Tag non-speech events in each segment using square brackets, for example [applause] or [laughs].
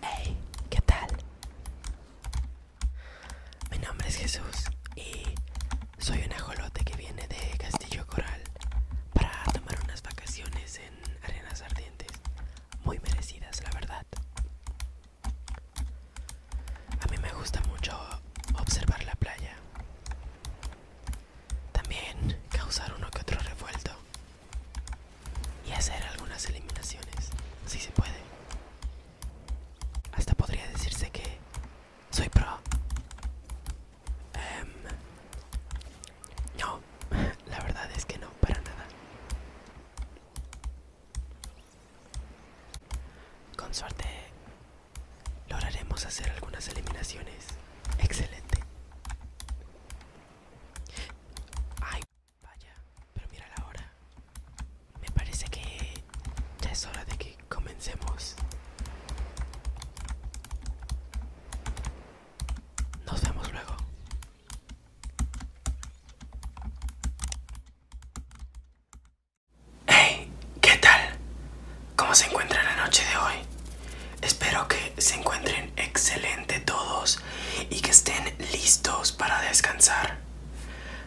Hey, ¿qué tal? Mi nombre es Jesús y soy un ajolote que viene de Castillo Coral para tomar unas vacaciones en arenas ardientes, muy merecidas, la verdad. A mí me gusta mucho observar la playa, también causar uno que otro revuelto y hacer algunas eliminaciones, si se puede. Hasta podría decirse que soy pro. Em, no, [laughs] la verdad es que no, para nada. Con suerte lograremos hacer algunas eliminaciones. Excelente. Ay, vaya, pero mira la hora. Me parece que ya es hora de que comencemos. Nos vemos luego. Hey, ¿qué tal? ¿Cómo se encuentra la noche de hoy? Espero que se encuentren excelente todos y que estén listos para descansar.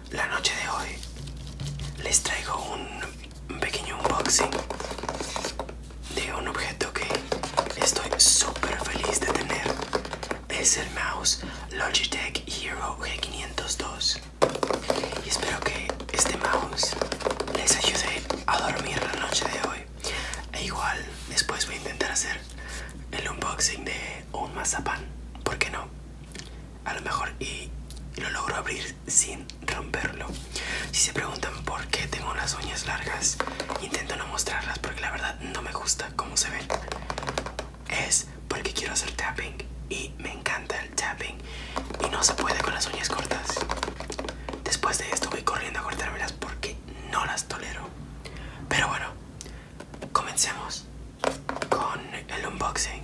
La noche de hoy les traigo un pequeño unboxing de un objeto que estoy súper feliz de tener. Es el mouse Logitech Hero G502. Y espero que este mouse les ayude a dormir la noche de hoy. E igual después voy a intentar hacer el unboxing de un mazapán. ¿Por qué no? A lo mejor y lo logro abrir sin romperlo. Si se preguntan por qué tengo las uñas largas, intento no mostrarlas porque la verdad no me gusta cómo se ven. Es porque quiero hacer tapping y me encanta el tapping y no se puede con las uñas cortas. Después de esto voy corriendo a cortármelas porque no las tolero. Pero bueno, comencemos con el unboxing.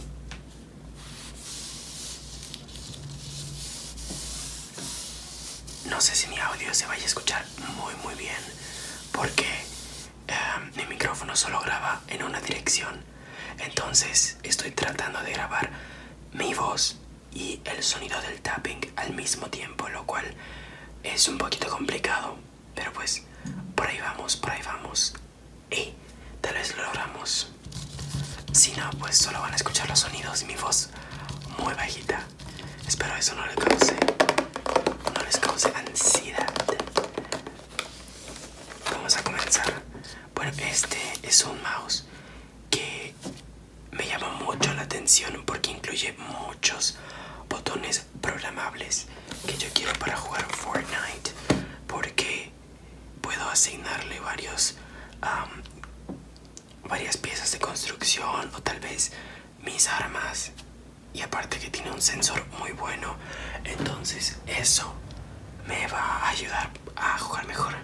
No sé si mi audio se vaya a escuchar muy muy bien porque eh, mi micrófono solo graba en una dirección. Entonces estoy tratando de grabar mi voz y el sonido del tapping al mismo tiempo, lo cual es un poquito complicado, pero pues por ahí vamos, por ahí vamos. Y tal vez lo logramos. Si no, pues solo van a escuchar los sonidos y mi voz muy bajita. Espero eso no les cause, no les cause ansiedad. Vamos a comenzar. Bueno, este es un mouse que me llama mucho la atención porque incluye muchos botones programables que yo quiero para jugar Fortnite porque puedo asignarle varios varias piezas de construcción o tal vez mis armas y aparte que tiene un sensor muy bueno entonces eso me va a ayudar a jugar mejor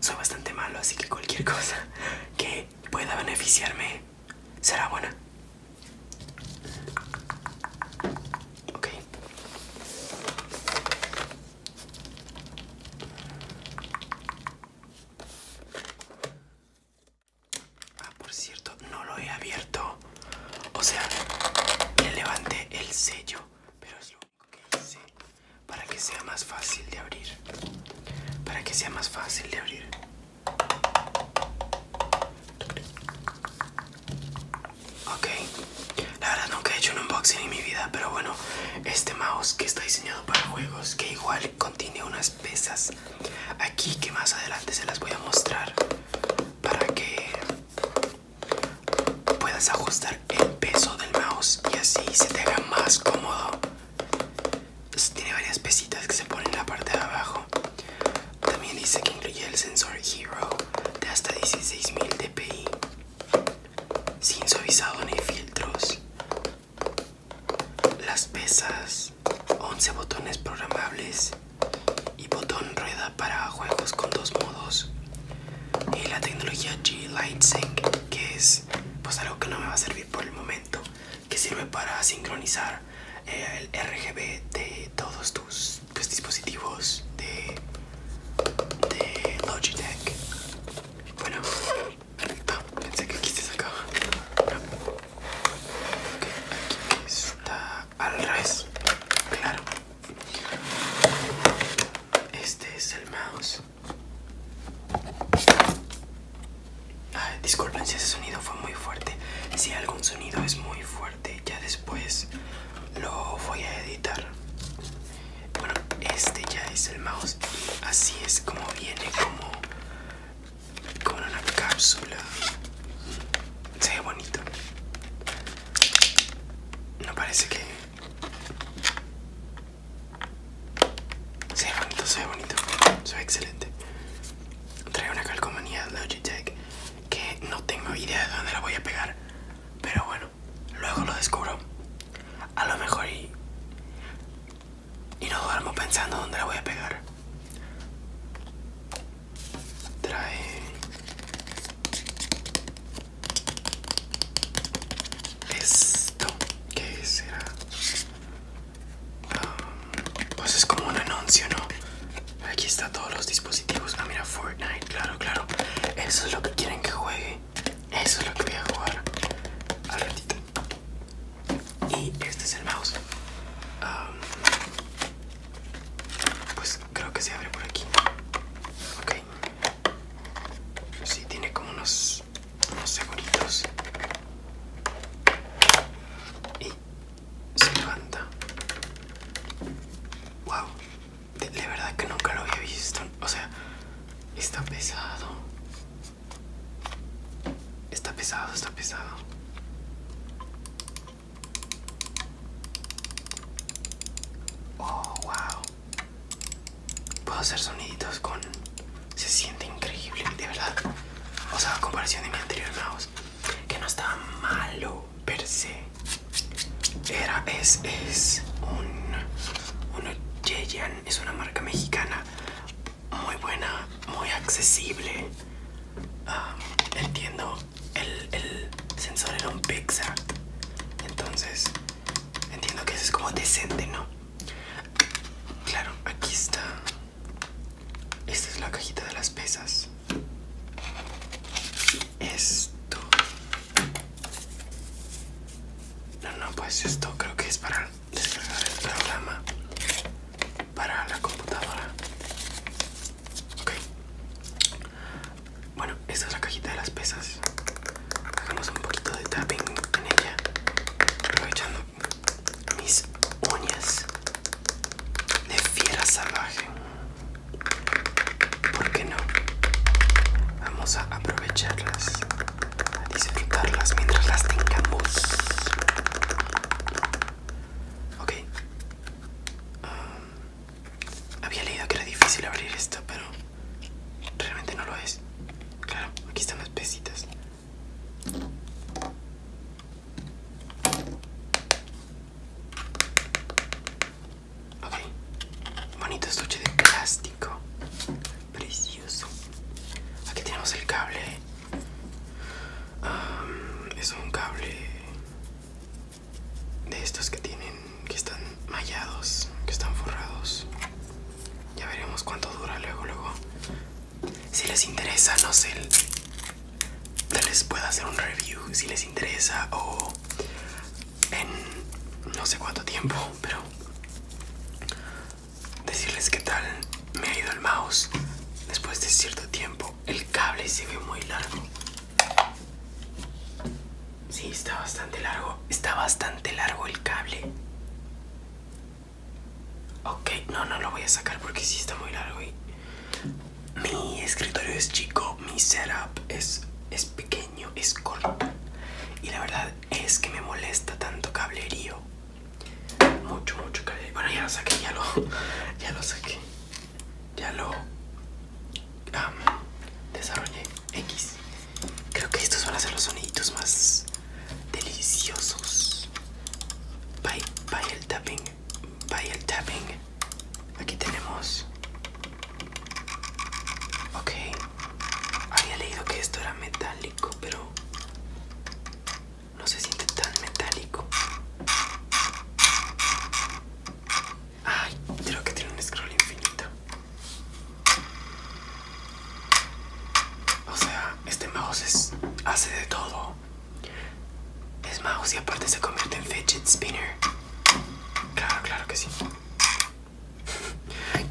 soy bastante malo, así que cualquier [laughs] cosa que pueda beneficiarme será buena. Ok. Ah, por cierto, no lo he abierto. O sea, le levanté el sello, pero es lo único que hice para que sea más fácil de abrir para que sea más fácil de abrir ok la verdad nunca he hecho un unboxing en mi vida pero bueno este mouse que está diseñado para juegos que igual contiene unas pesas aquí que más adelante se las voy a mostrar para que puedas ajustar el peso del mouse y así se te haga más cómodo tiene varias pesitas que se ponen en la parte de abajo. También dice que incluye el sensor Hero de hasta 16.000 dpi. Sin suavizado ni filtros. Las pesas, 11 botones programables y botón rueda para juegos con dos modos. Y la tecnología G-Light que es pues algo que no me va a servir por el momento que sirve para sincronizar eh, el RGB de todos tus pues, dispositivos de, Logitech bueno perfecto pensé que aquí se sacaba aquí está al revés claro este es el mouse disculpen si ese sonido fue muy fuerte. Si algún sonido es muy fuerte, ya después lo voy a editar. Bueno, este ya es el mouse. así es como viene, como con una cápsula. Se ve bonito. No parece que se ve bonito, se ve bonito, se ve excelente. Trae una calcomanía Logitech que no tengo idea de dónde la voy a pegar, pero bueno, luego lo descubro. A lo mejor y, y no duermo pensando dónde la voy a pegar. Trae es ¿Qué será um, pues es como un anuncio no aquí está todos los dispositivos ah mira Fortnite claro claro eso es lo que quieren que juegue eso es lo que voy a jugar al ratito y este es el mouse um, pues creo que se abre por aquí ok sí, tiene como unos unos segunditos y se levanta. Wow, de verdad que nunca lo había visto. O sea, está pesado. Está pesado, está pesado. Oh, wow. Puedo hacer soniditos con... Se siente increíble, de verdad. O sea, comparación de mi anterior mouse, que no estaba malo per se. Era, es, es un... Uno Yeyan, es una marca mexicana muy buena, muy accesible. Ah, entiendo, el, el sensor era un Pixar. Entonces, entiendo que eso es como decente, ¿no? Claro, aquí está. Esta es la cajita de las pesas. Esto. No, no, pues esto creo que es para descargar el programa para la computadora. Ok. Bueno, esta es la cajita de las pesas hagamos un poquito de tapping en ella aprovechando mis uñas de fiera salvaje ¿Por qué no? Vamos a aprovecharlas, a disfrutarlas mientras las tengamos. Ok. Um, había leído que era difícil abrir esto, pero realmente no lo es. Claro, aquí están las pesitas. Ok, bonito estuche de plástico, precioso. Aquí tenemos el cable. es un cable de estos que tienen, que están mallados, que están forrados. Ya veremos cuánto dura luego, luego. Si les interesa, no sé, les les hacer un review si les interesa o en no sé cuánto tiempo, pero decirles qué tal me ha ido el mouse después de cierto tiempo. El cable se ve muy largo. Sí, está bastante largo. Está bastante largo el cable. Ok, no, no lo voy a sacar porque sí está muy largo y... Mi escritorio es chico, mi setup es, pequeño, es corto. Y la verdad es que me molesta tanto cablerío. Mucho, mucho cablerío. Bueno, ya lo saqué, ya lo, [laughs] ya lo saqué. Ya lo desarrollé. X. Creo que estos van a ser los soniditos más deliciosos. Bye, bye el tapping. Bye el tapping. Aquí tenemos. Ok. Había leído que esto era metálico, pero no se siente tan metálico. Ay, creo que tiene un scroll infinito. O sea, este mouse hace de todo. Es mouse y aparte se convierte en fidget spinner. Claro, claro que sí.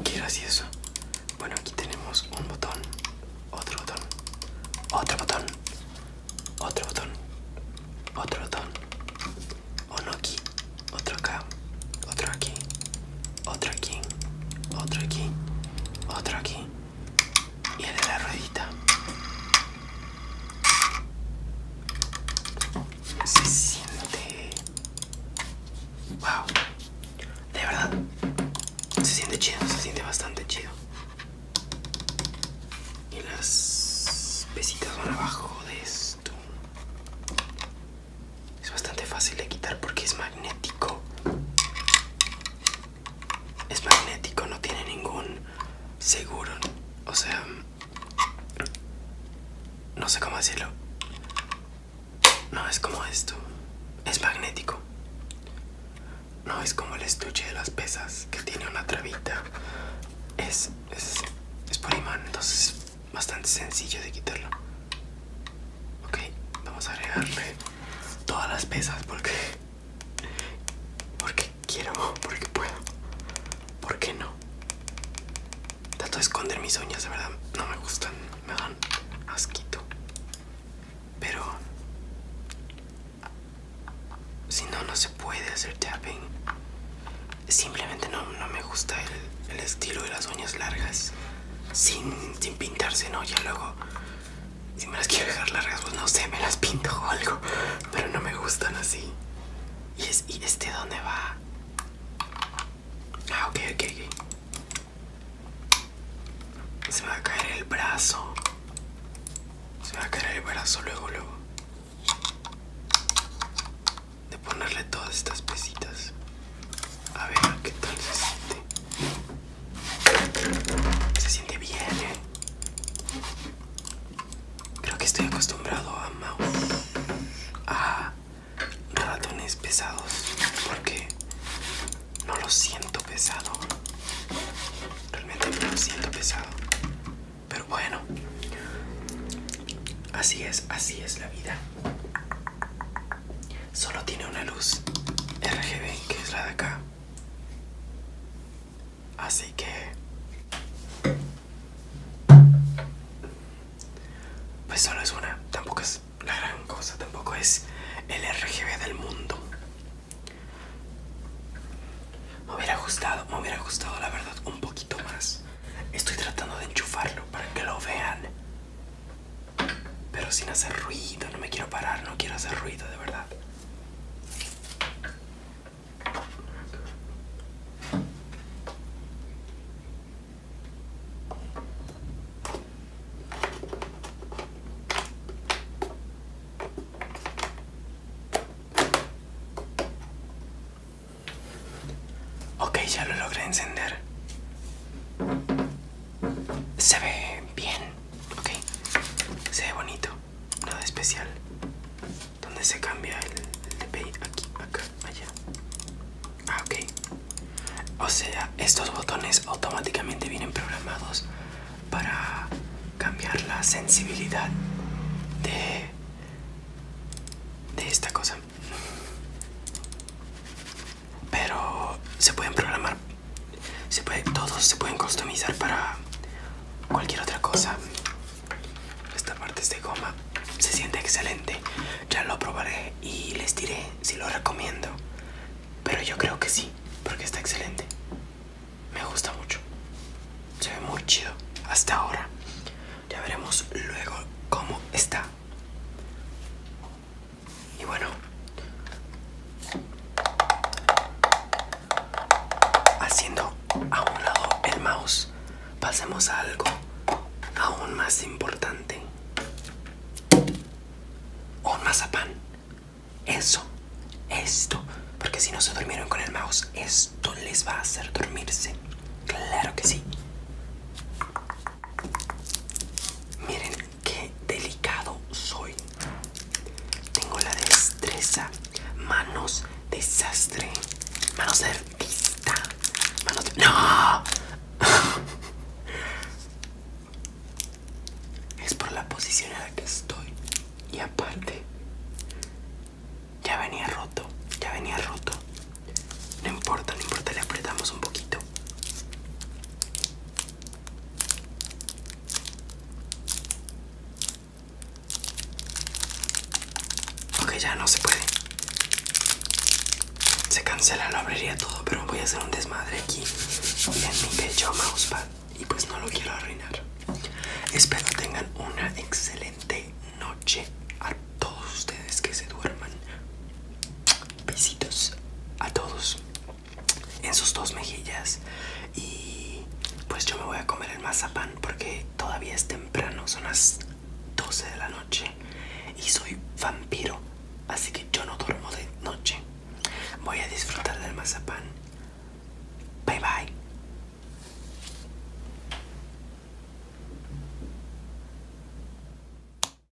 Quiero hacer eso. Bueno, aquí tenemos un botón, otro botón, otro botón, otro botón, otro botón. Uno aquí, otro acá, otro aquí, otro aquí, otro aquí, otro aquí y el de la ruedita. Se siente... ¡Wow! De verdad, se siente chido, se siente bastante chido. Y las pesitas van abajo de esto. Es bastante fácil de quitar porque es magnético. Es magnético, no tiene ningún seguro. O sea, no sé cómo decirlo. No es como esto. Es magnético. No es como el estuche de las pesas que tiene una trabita. Es, es, es por imán, entonces es bastante sencillo de quitarlo. Ok, vamos a agregarle todas las pesas porque porque quiero, porque puedo, porque no. Trato de esconder mis uñas, de verdad, no me gustan, me dan asquito. Pero si no, no se puede hacer tapping. Simplemente no, me gusta el, el estilo de las uñas largas sin, sin pintarse, ¿no? Ya luego, si me las quiero dejar las pues no sé, me las pinto o algo. Pero no me gustan así. ¿Y, es, y este dónde va? Ah, ok, ok, ok. Se me va a caer el brazo. Se va a caer el brazo luego, luego. De ponerle todas estas pesitas. A ver, ¿qué tal se siente? Se siente bien, ¿eh? Creo que estoy acostumbrado a mouse, a ratones pesados, porque no lo siento pesado. Realmente no lo siento pesado. Pero bueno, así es, así es la vida. Solo tiene una luz RGB que es la de acá. Así que... Pues solo es una, tampoco es la gran cosa, tampoco es el RGB del mundo. Me hubiera ajustado, me hubiera gustado la verdad un poquito más. Estoy tratando de enchufarlo para que lo vean. Pero sin hacer ruido, no me quiero parar, no quiero hacer ruido, de verdad. Ok, ya lo logré encender. Se ve bien, ok. Se ve bonito, nada especial. donde se cambia el, de Aquí, acá, allá. Ah, ok. O sea, estos botones automáticamente vienen programados para cambiar la sensibilidad de, de esta cosa pero se pueden programar se todos se pueden customizar para cualquier otra cosa esta parte es de goma se siente excelente ya lo probaré y les diré si lo recomiendo pero yo creo que sí porque está excelente me gusta mucho se ve muy chido hasta ahora ya veremos luego cómo está y bueno, haciendo a un lado el mouse, pasemos a algo aún más importante. Un mazapán. Eso, esto, porque si no se durmieron con el mouse, esto les va a hacer dormirse. Claro que sí. Miren, qué delicado soy. Tengo la destreza, manos desastre, manos de artista, manos de... ¡No! [laughs] es por la posición en la que estoy. Y aparte, ya venía roto, ya venía roto. No importa, no importa, le apretamos un poquito. Ok, ya no se puede. Se cancela, lo abriría todo, pero voy a hacer un desmadre aquí en mi bello mousepad y pues no lo quiero arruinar. Espero tengan una excelente noche a todos ustedes que se duerman. Besitos a todos en sus dos mejillas. Y pues yo me voy a comer el mazapán porque todavía es temprano, son las 12 de la noche y soy vampiro, así que yo no duermo de noche. Voy a disfrutar del mazapán. Bye bye.